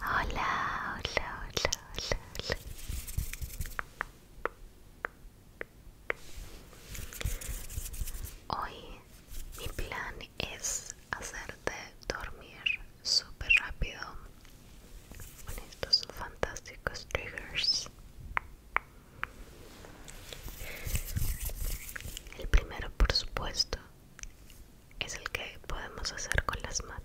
Hola, hola, hola, hola, Hoy mi plan es hacerte dormir súper rápido con estos fantásticos triggers. El primero, por supuesto, es el que podemos hacer con las manos.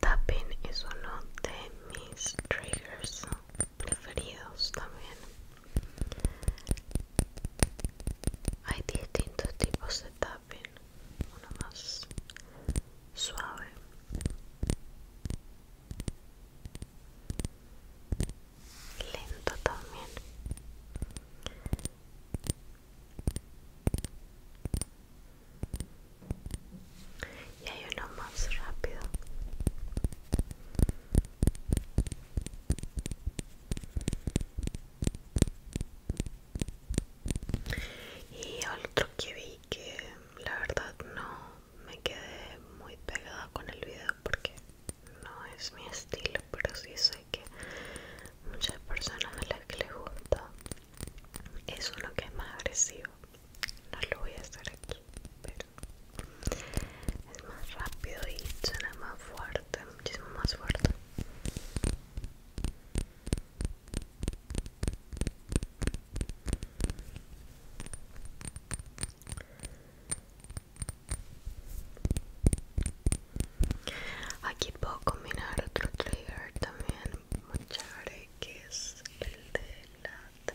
Tapping es uno de mis triggers preferidos también hay distintos tipos de tapping uno más suave lento también y hay uno más rápido y otro que vi que la verdad no me quedé muy pegada con el video porque no es mi estilo pero sí sé que muchas personas a las que les gusta es uno que es más agresivo no lo voy a hacer aquí pero es más rápido y suena más fuerte muchísimo más fuerte Aquí puedo combinar otro trigger también muy que es el de la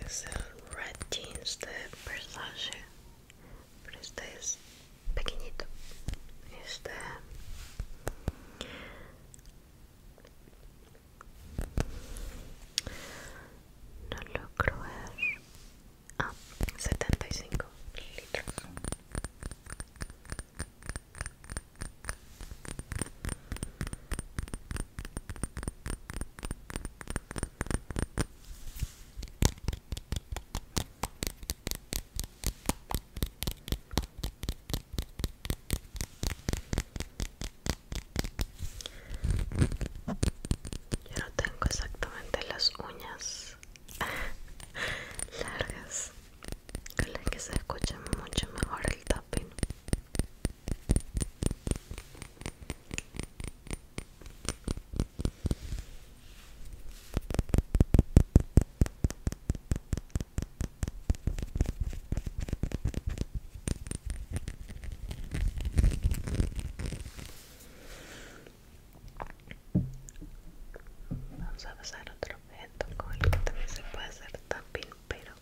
It's el red jeans de Versace, pero este es pequeñito. Este no logro ver. Ah, 75 litros. Yo no tengo exactamente las uñas largas con que se escuche mucho mejor el tapping Vamos a pasar otro objeto con el que también se puede hacer tapping, pero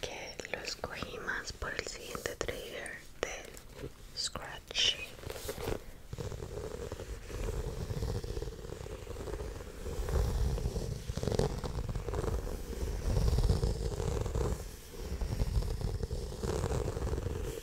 que lo escogí más por el siguiente trigger del scratch.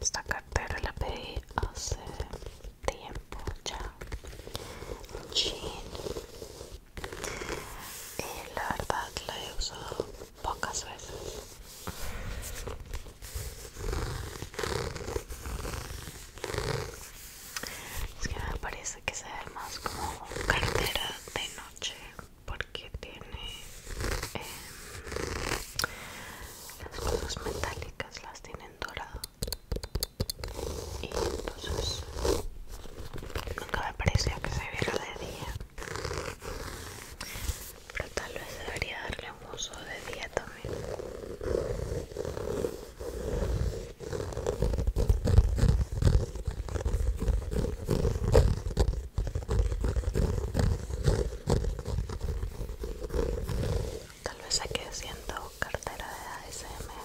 Esta cartera la pedí hace tiempo ya. Y la verdad la he usado pocas veces. Es que me parece que se ve más como cartera de noche porque tiene em, las cosas metálicas, las tienen dorado y entonces nunca me parecía que se viera de día pero tal vez debería darle un uso de día también tal vez aquí siento cartera de ASMR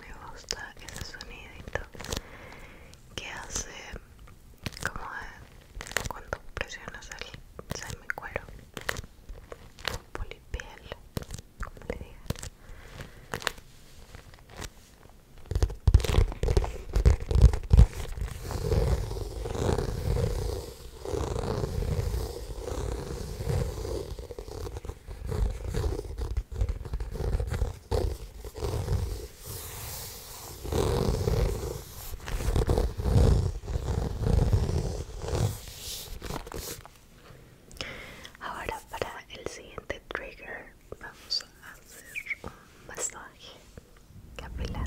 Me gusta ese sonidito que hace como cuando presionas el semicuero con polipiel, como le digan. Ahora para el siguiente trigger vamos a hacer un masaje capilar.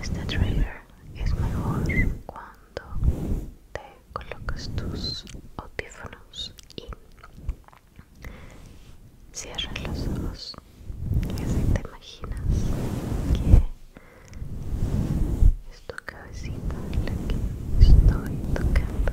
Este trigger es mejor cuando te colocas tus audífonos y cierras los ojos y así te imaginas que es tu cabecita la que estoy tocando.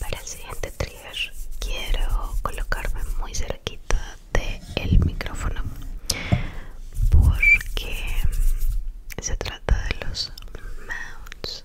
Para el siguiente trigger quiero colocarme muy cerquita del el micrófono porque se trata de los mounts,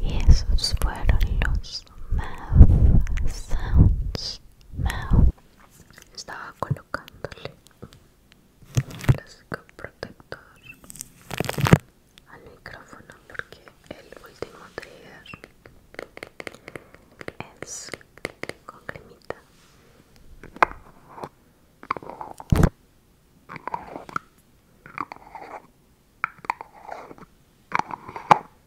Y esos fueron los mouth sounds estaba colocándole un plástico protector al micrófono porque el último trigger es con cremita.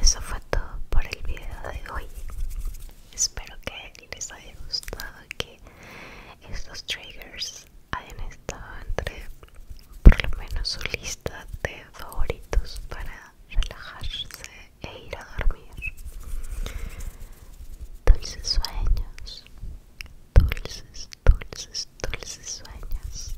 Eso fue todo por el video de hoy. Espero que les haya gustado que estos triggers hayan estado entre por lo menos su lista de favoritos para relajarse e ir a dormir. Dulces sueños, dulces, dulces, dulces sueños.